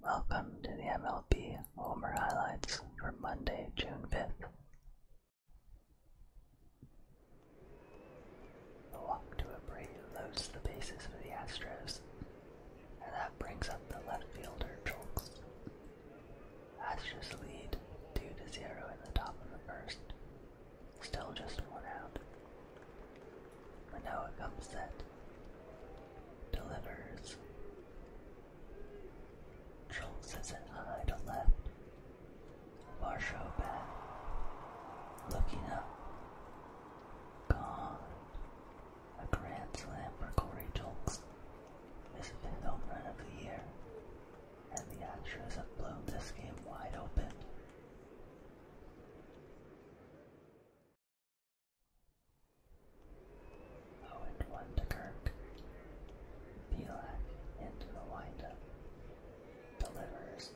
Welcome to the MLB Homer Highlights for Monday, June 5th. The walk to Abreu loads the bases for the Astros, and that brings up the left fielder Jolks. Astros lead 2 to 0 in the top of the first, still just one out. And now it comes that delivers. Trunks is an to left. Varsho back. Looking up. Gone. A grand slam for Corey Jolks. His fifth home run of the year. And the Astros have blown this game wide open. Owen to Kirk. Belak into the windup. Delivers.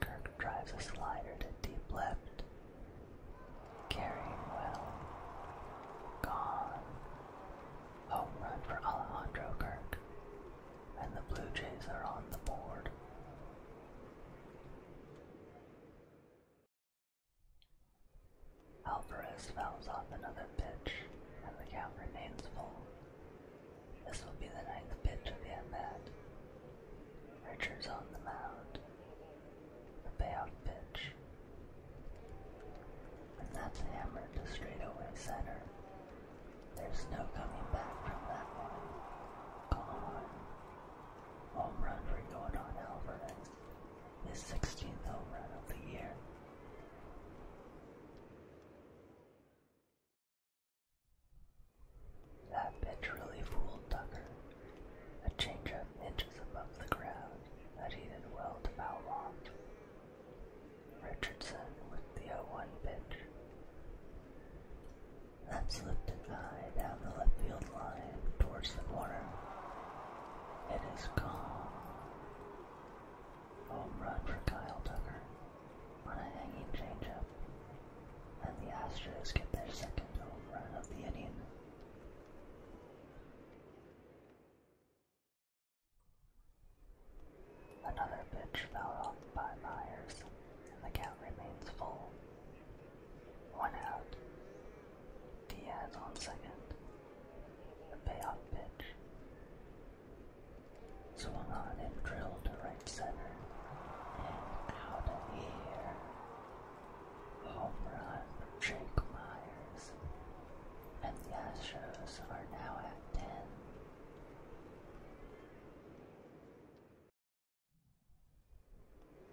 Kirk drives a slider to deep left. Carrying well. Gone. Home run for Alejandro Kirk. And the Blue Jays are on the board. Alvarez fouls off another pitch, and the count remains full. This will be the ninth pitch of the at bat. Richards on the mound. The payoff pitch. And that's hammered to straightaway center. There's no coming back from that one. Gone. Home run for Jordan Alvarez. His 16th home run of the year. That pitch really fooled Tucker. A changeup inches above the ground that he did well to off. Richardson with the 0-1 pitch. That slipped and down the left field line towards the corner. It is gone. Home run for Kyle Tucker on a hanging changeup. And the Astros get their second home run of the inning. Another pitch fell off by Myers, and the count remains full. One out. Diaz on second. The payoff pitch. Swung on and drilled to right center. And out of here. Home run Jake Myers. And the Astros are now at 10.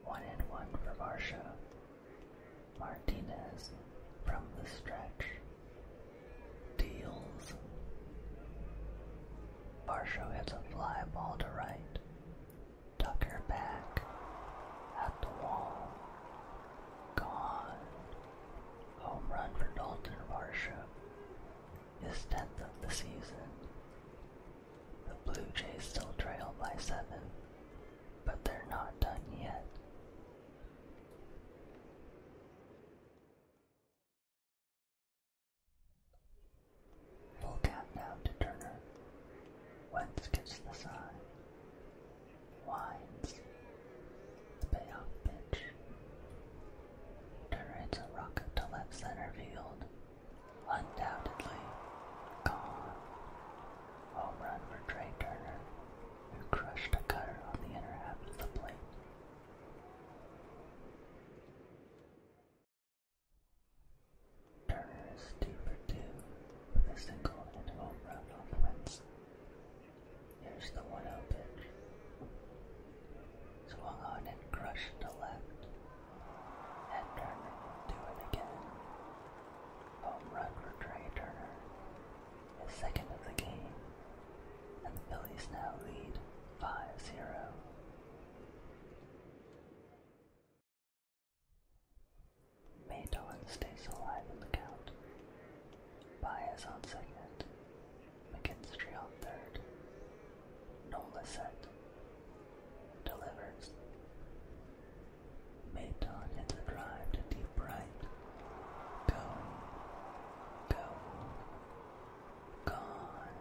One and one for Marsha. Martinez from the stretch. Deals. Marsha hits a fly ball to right. Tucker back. At the wall. Gone. Home run for Dalton Marsha. Is tenth of the season. The Blue Jays still trail by seven, but they're not done yet. Full now to Turner. Wentz gives the sign. Wines. Payoff pitch. Turrets a rocket to left center field. Undoubtedly. Gone. Home run for Trey Turner, who crushed a cutter on the inner half of the plate. Turner is 2 for 2 with a single and home run on Wednesday. Here's the 1 0 pitch. Swung on and crushed to left. And Turner will it again. Home run for Trey Turner. His second of the game. And the Phillies now lead 5 0. Maydolin stays alive in the count. Baez on second. McKinstry on third. Nola set. Delivers. Maton hits a drive to deep right. Go. Go. Gone.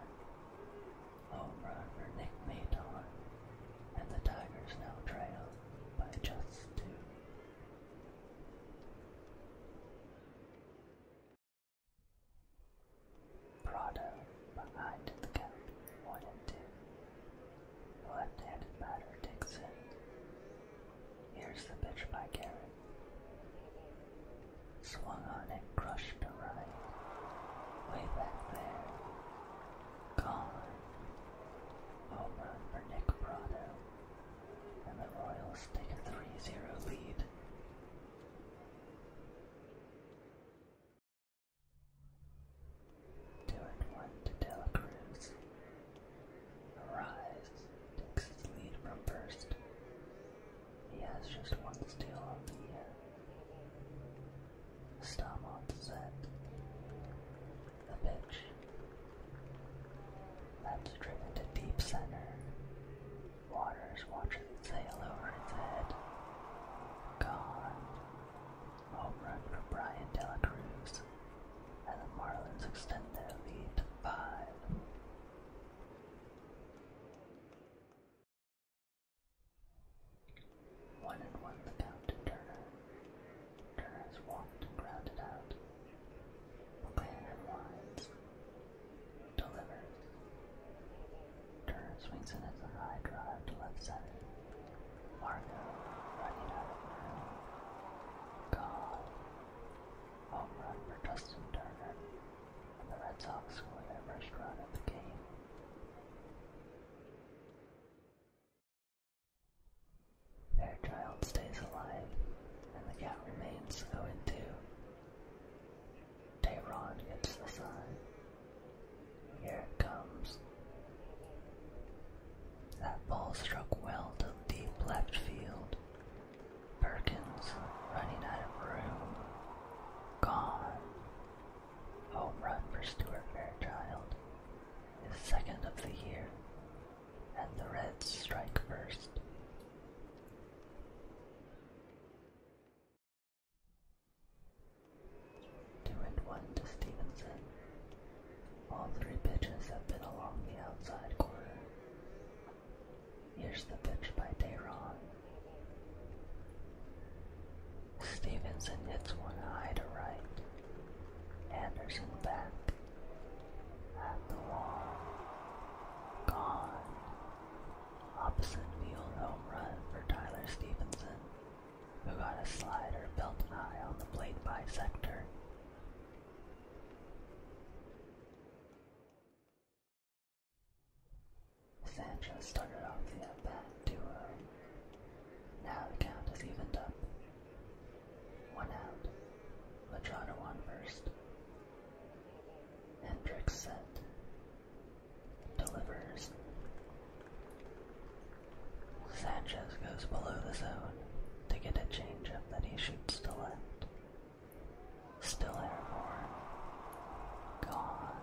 Home run for Nick Maton. And the Tigers now trail by just two. Prado behind the gap, 1 and 2. left-handed batter takes Here's the pitch by Garrett. Swung on and crushed to right. Way back there. Gone. Home run for Nick Prado. And the Royals take a 3-0 lead. Two one to Dela Arise takes his lead from first. He has just one steal on the year. set the bitch. That's driven to deep center. Waters watching it sail over its head. Gone. Home run for Brian Dela Cruz. And the Marlins extend their lead five. One and one the count to Turner. Turner's walked and grounded out. McLean unwinds. Delivers. Turner swings in as high drive to left center. Margo running out of Home run for Justin Turner. the Red Sox score their first run of the game. Fairchild stays alive, and the cat remains to go Tehran gets the sign. Here it comes. That ball struck well to deep left field. Perkins running out of room. Gone. Home run for Stuart Fairchild. His second of the year and the Reds strike first. Two and one to Stevenson. All three pitches have been along the outside corner. Here's the pitch by Dayron. Stevenson hits one high to right. Anderson back. Gone. Opposite field home run for Tyler Stevenson, who got a slider built high on the plate bisector. Sanchez started off the at bat 2 uh, Now the count is evened up one out. Lajana on first. Hendricks set. Delivers. Sanchez goes below the zone to get a changeup that he shoots to left. Still airborne. Gone.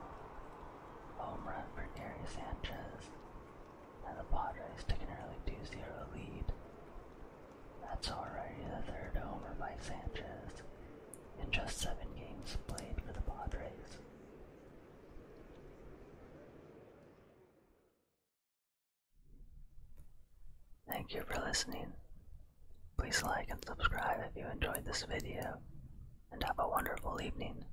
Home run for Gary Sanchez and the Padres took an early two-zero 0 lead. That's already the third homer by Sanchez in just seven games played for the Padres. Thank you for listening. Please like and subscribe if you enjoyed this video, and have a wonderful evening.